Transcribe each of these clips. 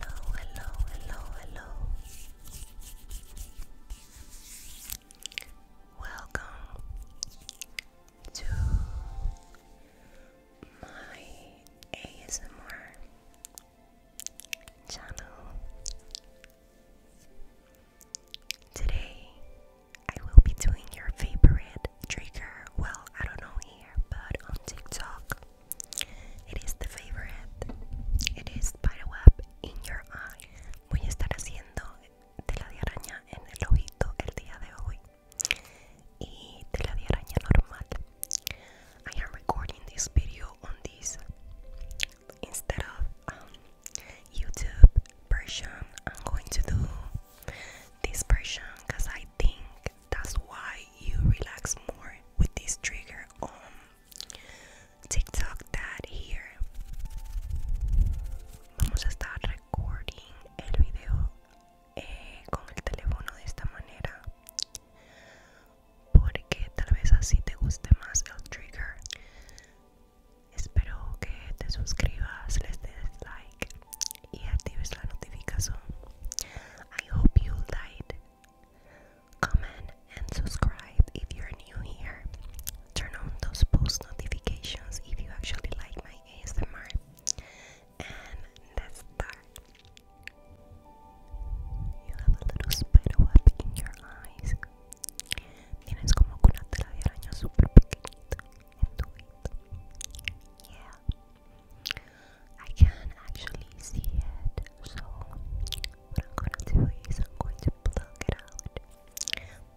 Hello, hello, hello, hello. Welcome to my ASMR channel. Today I will be doing your favorite trigger. Well, I don't know here, but on TikTok. It is the favorite. It is Spiderweb in your eye. Voy a estar haciendo tela de araña en el ojito el día de hoy. Y normal. I am recording this video on this instead of um, YouTube version. I'm going to do this version because I think that's why you relax more with this trigger on TikTok that here. Vamos a estar recording el video eh, con el teléfono de esta manera porque tal vez así te guste más el trigger. Espero que te suscribas, les des like y actives la notificación. I hope you liked, comment and subscribe if you're new here. Turn on those post notifications if you actually like my ASMR. And let's You have a little spider web in your eyes. Tienes como una tela super pequeñita en I can actually see it, so what I'm gonna do is I'm going to plug it out.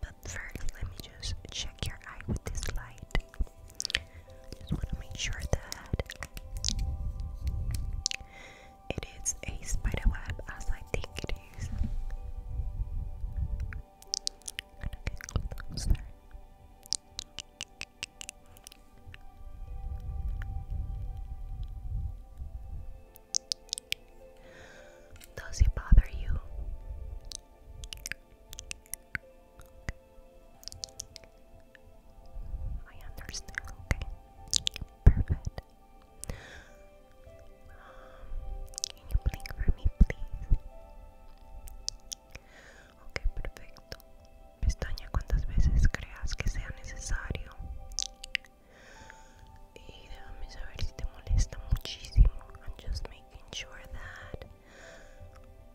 But first, let me just check your eye with this light. just want to make sure that it is a spider web as I think its does it bother you? I understand. Okay. Perfect. Um, can you blink for me, please? Ok, perfecto. Pestaña cuántas veces creas que sea necesario. Y déjame saber si te molesta muchísimo. I'm just making sure that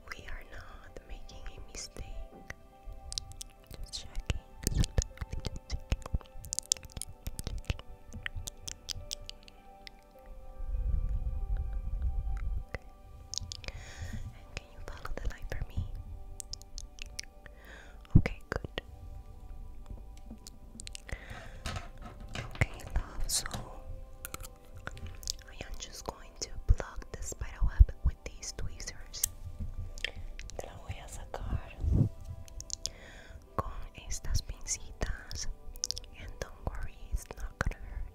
we are not making a mistake. Just checking. Just checking. checking can you follow the light for me? Okay, good. Okay, love, so I am just going to plug the spider web with these tweezers. Te la voy a sacar con estas pincitas. And don't worry, it's not gonna hurt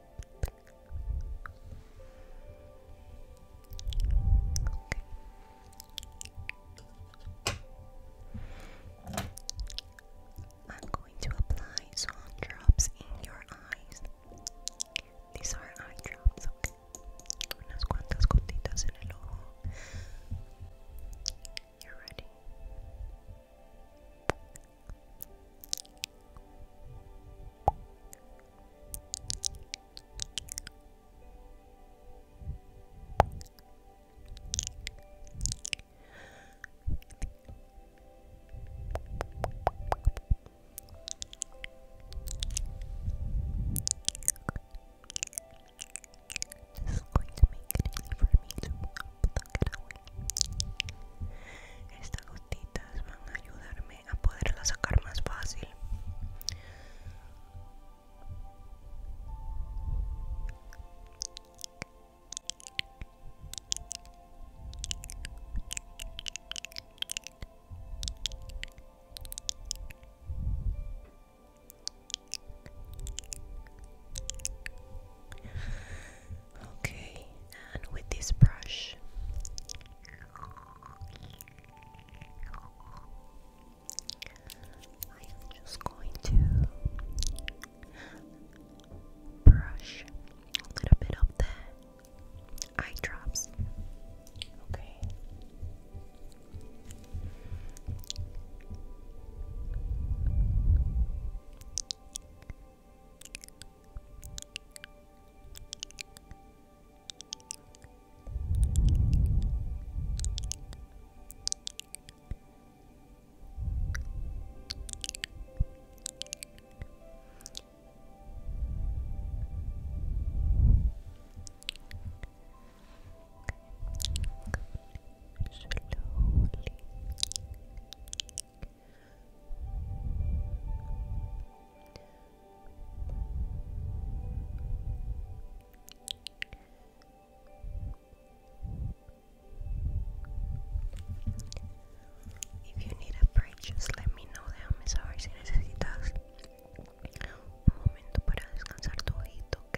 Okay. I'm going to apply some drops in your eyes. These are eye drops, Unas cuantas gotitas en el ojo. you ready. This is going to make it easy for me to pluck it away. Estas gotitas van a ayudarme a poderla sacar más fácil. Okay, and with this brush, I'm just going to brush a little bit of the eye drops. Okay. Slowly, slowly, If you need a break, just let me know. Déjame saber si necesitas un momento para descansar tu ojito, ¿ok?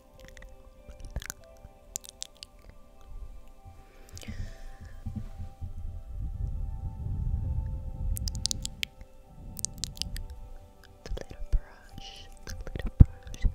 The little brush, the little brush. Good, good, good, good, good.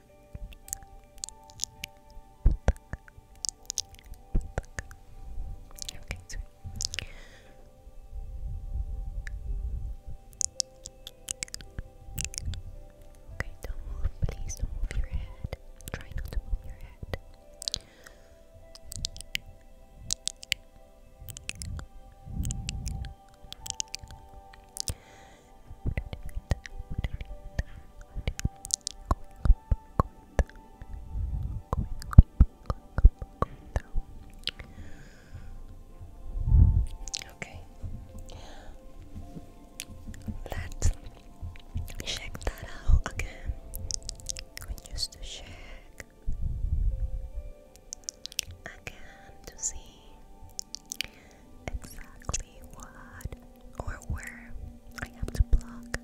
Okay, sweet. Okay, don't move, please don't move your head. Try not to move your head. Okay, let's check that out again. We to check again to see exactly what or where I have to block.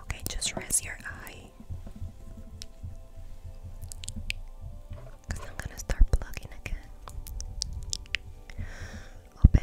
Okay, just rest your eye. Because I'm gonna start plugging again. Open.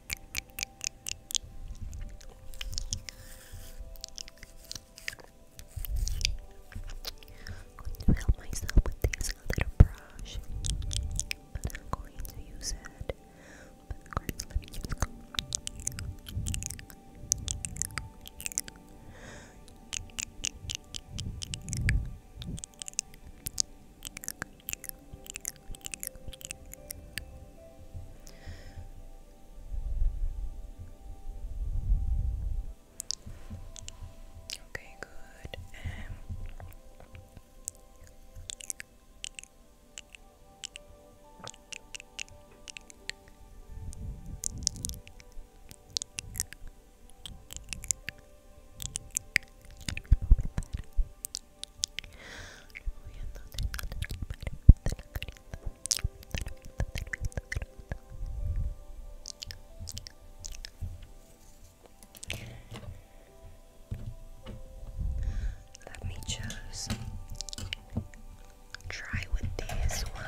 going to help myself with this little brush, but I'm going to use it. Okay, good. Um, Perfect. Let me just try with this one.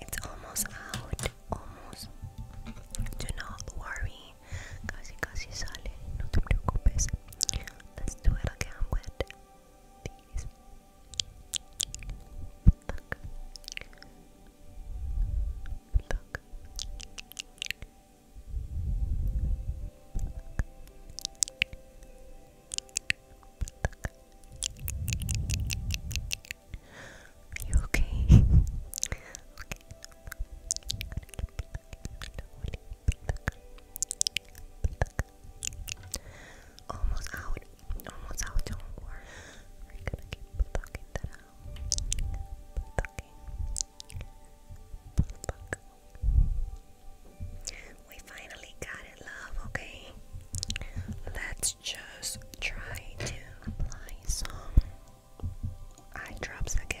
It's almost out, almost. Do not worry. Casi, casi sale. No te preocupes. Let's do it Look. you okay? Almost out. Almost out. Don't worry. We're gonna keep plucking we finally got it, love, okay? Let's just try to apply some eye drops again.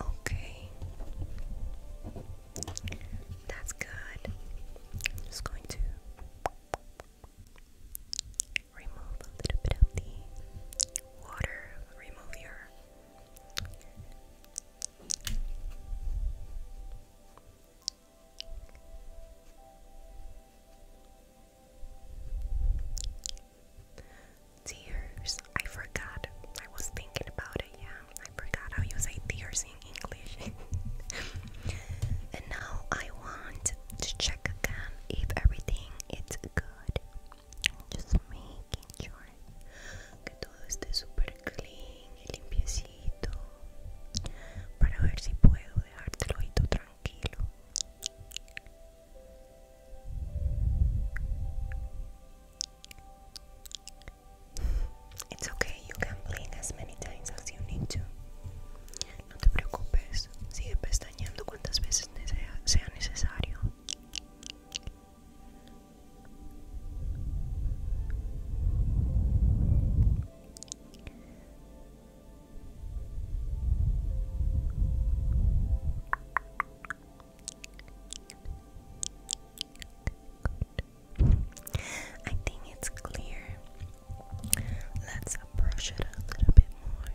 Okay, that's good. I'm just going to remove a little bit of the water, remove your Tears. I forgot. I was thinking about it, yeah. I forgot how you say tears in English. and now I want to check again if everything is good. Just making sure todo esté super clean limpiecito. Para ver si puedo dejártelo y tú tranquilo. It's okay, you can blink as many times as you need to. No te preocupes, sigue pestañeando cuantas veces sea necesario. I think it's clear. Let's brush it a little bit more.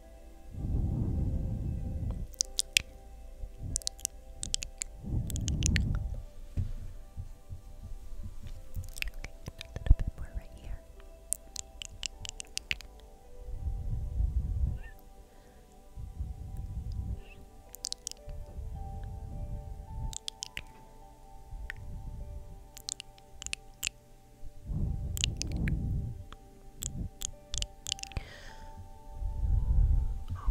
bit more right here. Okay.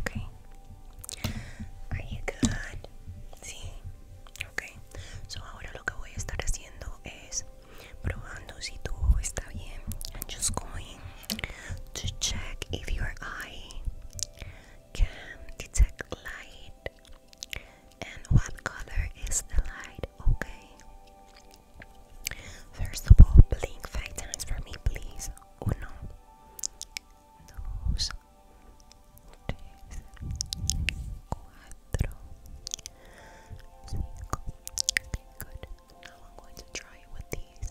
Okay. Are you good? Sí. Ok. So ahora lo I'm just going to check if your eye can detect light and what color is the light. Okay. First of all, blink five times for me, please. Uno, dos, tres, cuatro, cinco. Good. Now I'm going to try with these.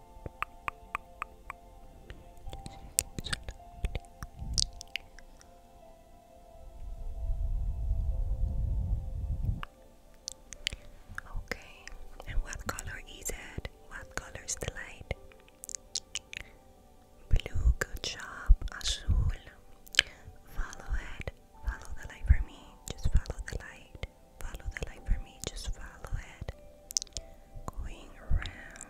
Okay, and what color is it? What color is the light? Blue, good job. Azul, follow it. Follow the light for me. Just follow the light. Follow the light for me. Just follow it. Going round,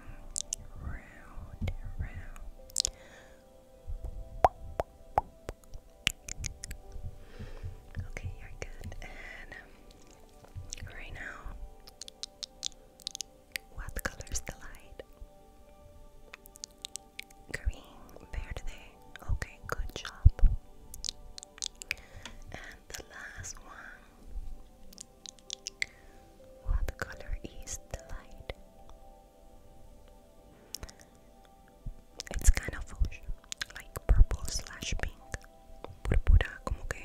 round, round. Okay, you're good. And right now, what color is the light? Green, verde. Okay, good job the last one. What color is the light? It's kind of like purple slash pink. Purpura, como que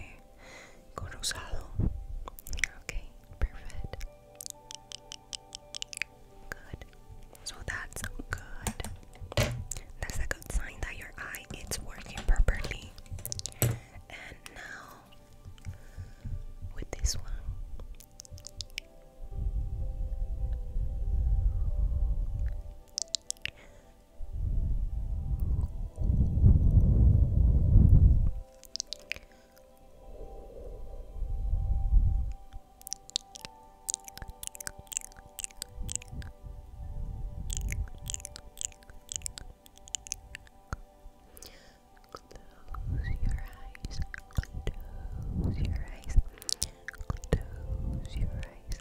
con rosado. Okay, perfect. Good. So that's good. That's a good sign that your eye it's working properly. And now with this one. Close your eyes. Close your eyes. Close your eyes.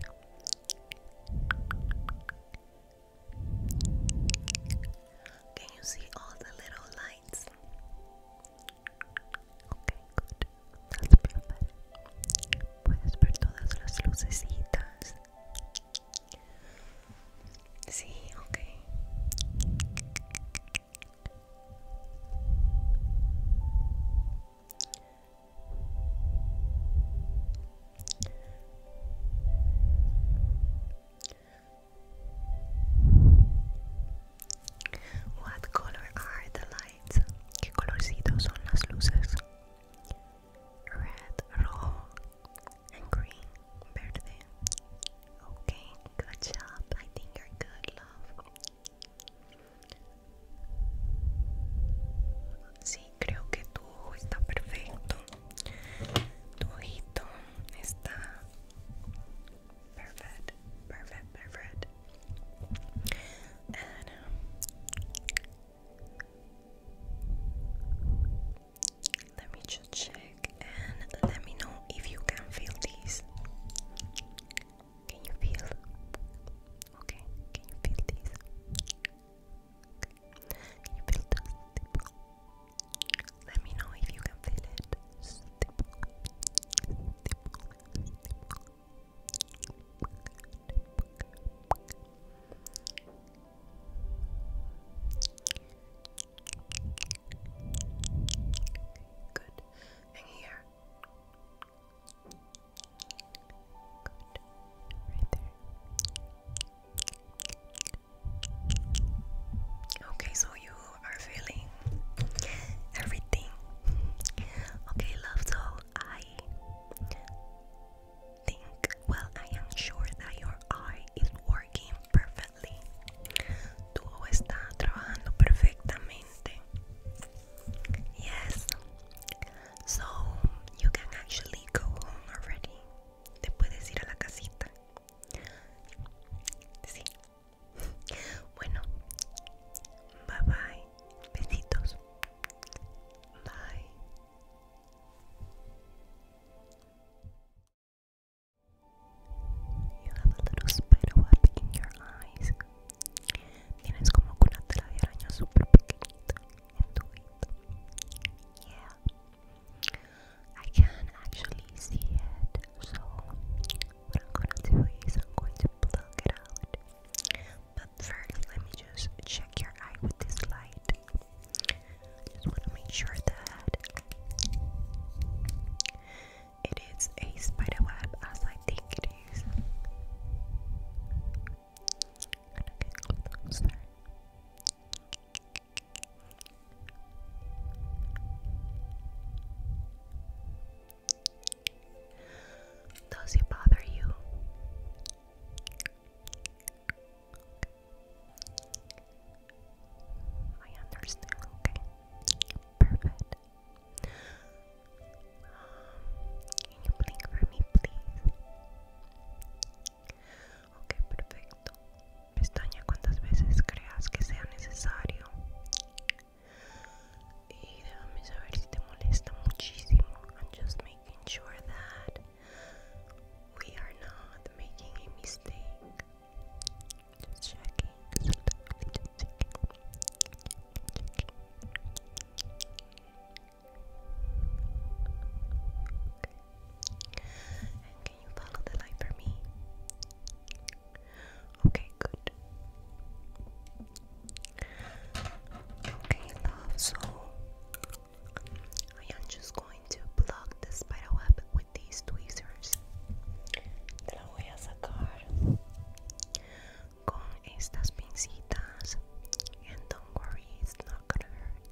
Can you see all the little lights? Okay, good. puedes ver todas las lucecitas. Sí, ok. What color are the lights? ¿Qué colorcitos son las luces? red, roll, and green, verde. Okay, good job. I think you're good, love. Sí, creo que tu ojo está perfecto. Tu ojito está perfect, perfect, perfect. And um, let me just check and let me know if you can feel these. Can you feel? Okay, can you feel these? Can you feel the Let me know if you can feel it. Good. And here. Good. Right there. Okay, so you are feeling everything. Okay, love, so I think. Well, I am sure that your eye is working perfectly. Tu ojo está trabajando perfectamente. Yes. So, you can actually go home already. Te puedes ir a la casita. Sí. Bueno. Bye bye. Besitos. Bye. You have a little spider web in your eyes. Tienes como una tela de araña super pequeñita en tu vida. Yeah. I can actually see it. So what I'm gonna do is I'm going to plug it out. But first, let me just check your eye with this light. just want to make sure that it is a spider web, as I think it is. Does it bother you? I understand, okay? Perfect. Um, can you blink for me, please? Ok, perfecto. Pestaña cuantas veces creas que sea necesario. Y déjame saber si te molesta muchísimo. I'm just making making sure that we are not making a mistake. Just checking. can you follow the light for me? Okay, good. Okay, love, so I am just going to plug the spider web with these tweezers. Te la voy a sacar con estas pincitas. And don't worry, it's not gonna hurt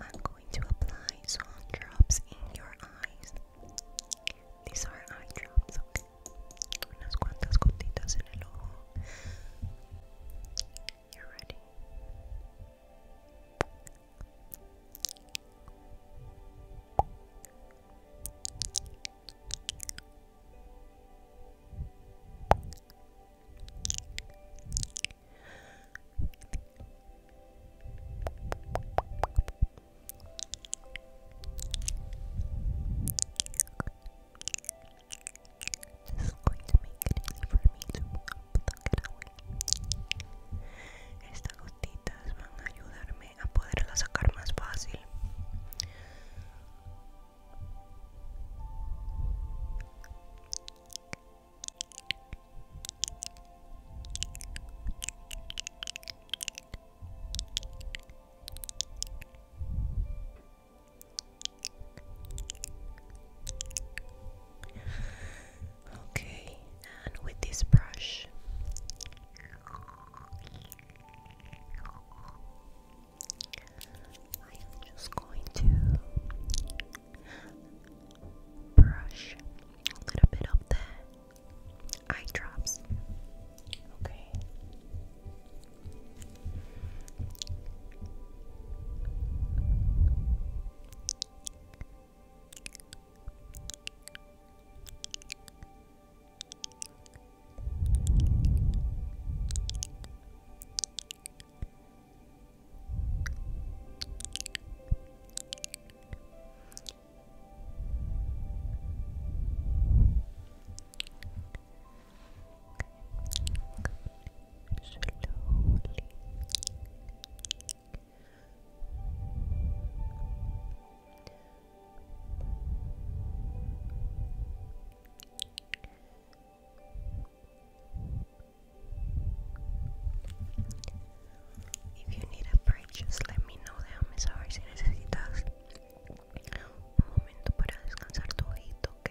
I'm going to apply swan drops in your eyes. These are eye drops, okay? Unas cuantas gotitas en el ojo. You're ready. Esto is going to make it easy for me to Estas gotitas van a ayudarme a poderla sacar más fácil. Okay, and with this brush, I am just going to brush a little bit of the eye drops. Okay. Slowly. If you need a break, just let me know. Déjame saber si necesitas un momento para descansar tu ojito, ¿ok?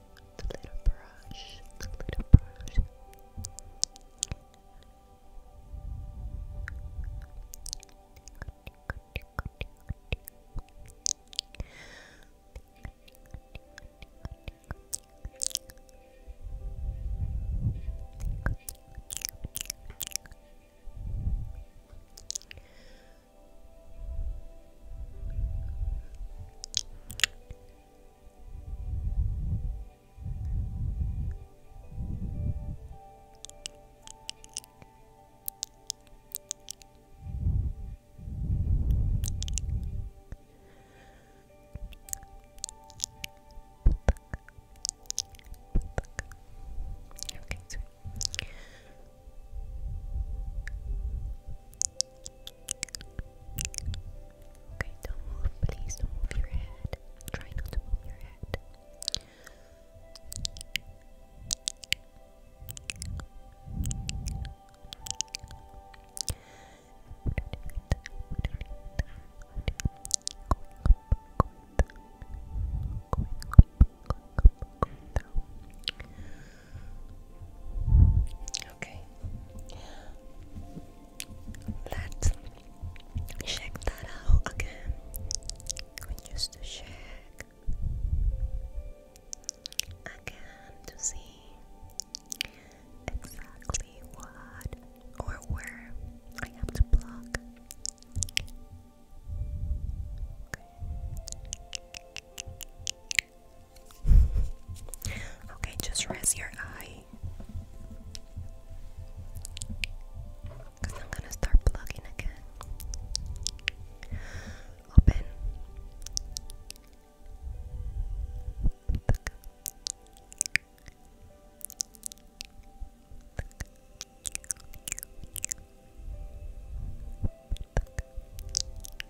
the little brush, the little brush. Okay, sweet. Okay, don't move, please don't move your head. Try not to move your head. Going up, going up, going down, going up, going down, Okay. Let's check that out again. We just check again to see exactly what or where I have to block okay, just rest your eye. Because I'm going to start plugging again. Open.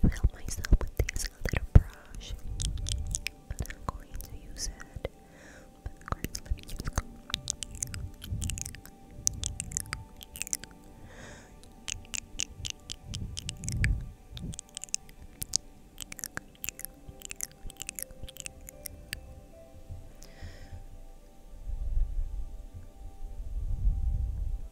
going to help myself with this little brush. I'm going to use it.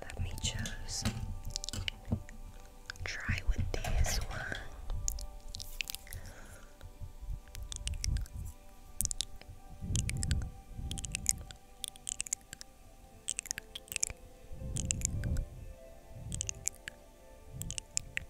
Let me choose. Try with this one.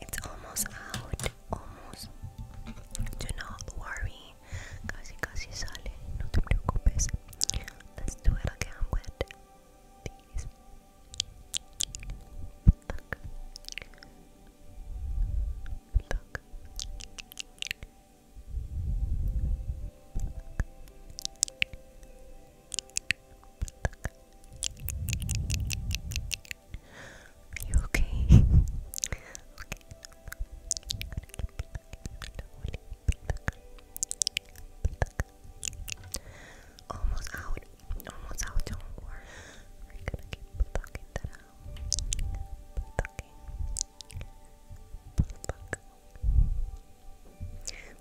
It's almost out, almost. Do not worry. Casi, casi sale. No te preocupes. Let's do it again are you okay? Almost out. Almost out. Don't worry. We're gonna keep plucking that out.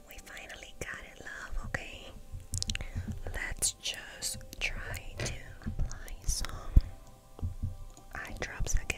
We finally got it, love, okay? Let's just try to apply some eye drops again.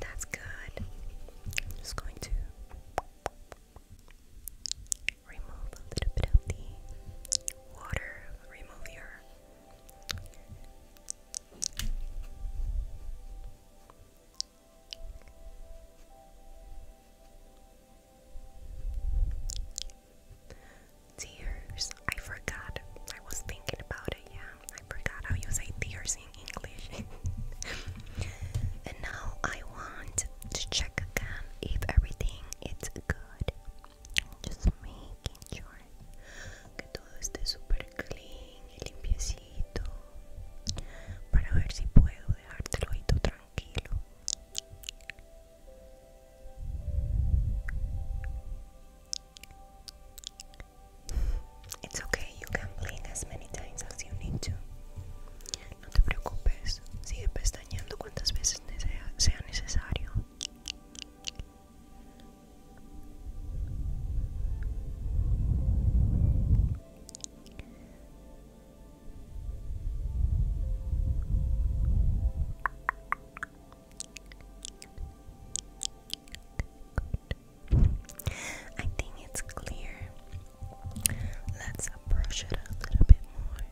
That's good. just going to remove a little bit of the water. Remove Tears. I forgot. I was thinking about it, yeah. I forgot how you say tears in English. and now I want to check again if everything is good. Just making sure que todo esté super clean limpiecito. Para ver si puedo dejártelo ahí tranquilo. It's okay, you can blink as many times as you need to. No te preocupes, sigue pestañeando cuantas veces sea necesario. I think it's clear. Let's brush it a little bit more.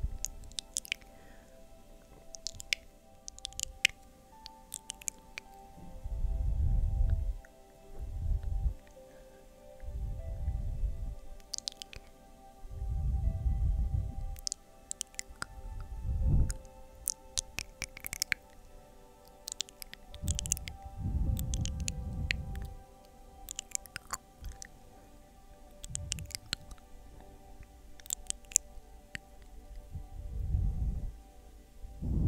Okay, a little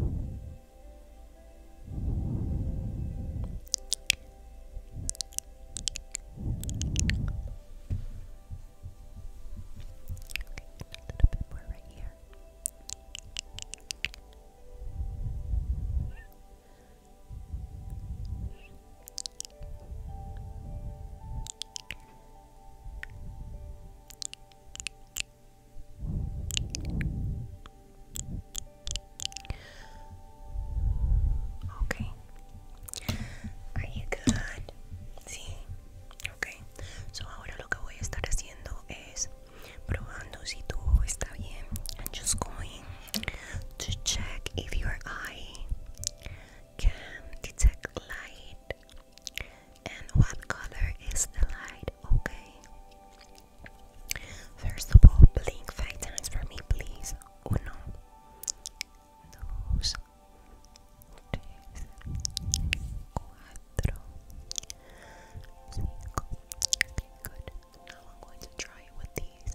bit more right here. Okay. Are you good? See, ok so ahora lo que voy a estar haciendo es probando si tu ojo está bien I'm just going to check if your eye can detect light and what color is the light okay first of all blink five times for me please uno dos Okay, good. Now I'm going to try it with these.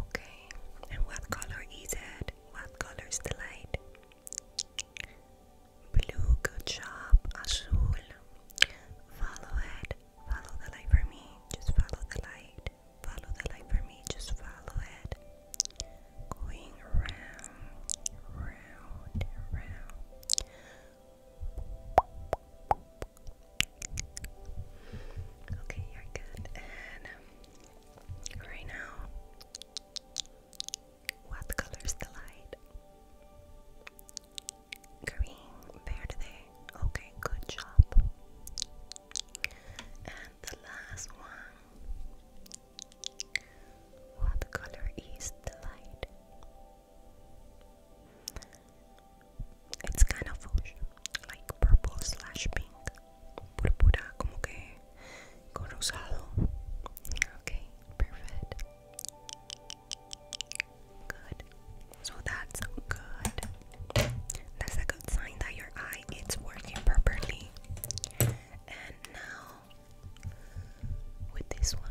Okay, and what color is it? What color is the light? Blue, good job. Azul, follow it. Follow the light for me. Just follow the light. Follow the light for me. Just follow it. Going round, round, round. Okay, you're good. And um, right now, what color's the light? Green, verde. Okay, good job. And the last one. What color is the light? It's kind of like purple slash pink, purpura, como que con rosado. Okay, perfect. Good. So that's good. That's a good sign that your eye is working properly. And now with this one.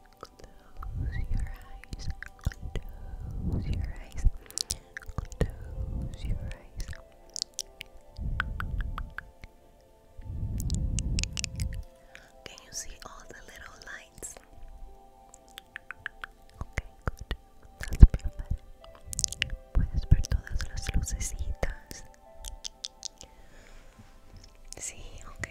Close your eyes. Close your eyes. Close your eyes. Can you see all the little lights? Okay, good. That's perfect. Puedes ver todas las lucecitas. Sí, ok.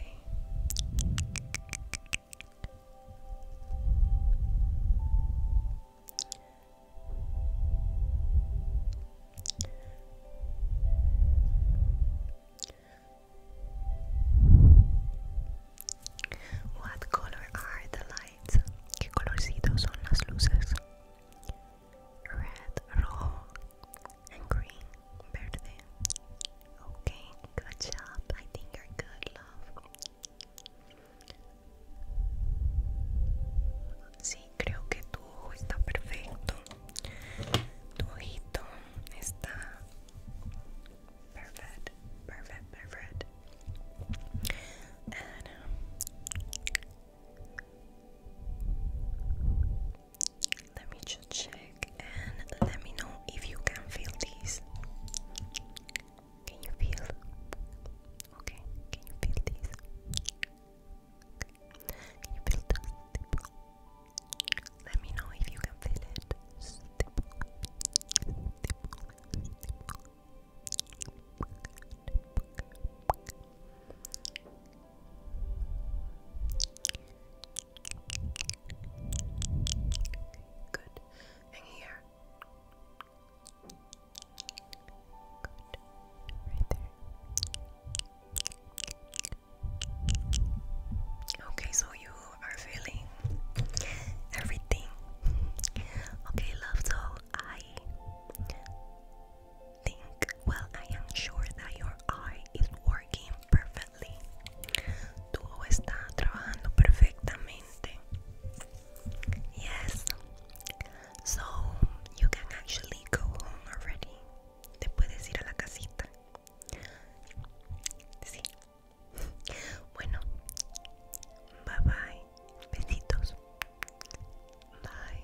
What color are the lights? ¿Qué colorcito son las luces? Red, rojo, and green, verde. Okay, good job. I think you're good, love. Sí, creo que tu ojo está perfecto. Tu ojito está perfect, perfect, perfect. And um, let me just check and let me know if you can feel these. Can you feel? Okay, can you feel this? Can you feel the Let me know if you can feel it. Good here. Right there. Okay, so you are feeling everything. Okay, love, so I think, well, I am sure that your eye is working perfectly. tu está trabajando perfectamente. Yes. So you can actually go home already. Te puedes ir a la casita. Sí. Bueno. Bye bye. Besitos. Bye.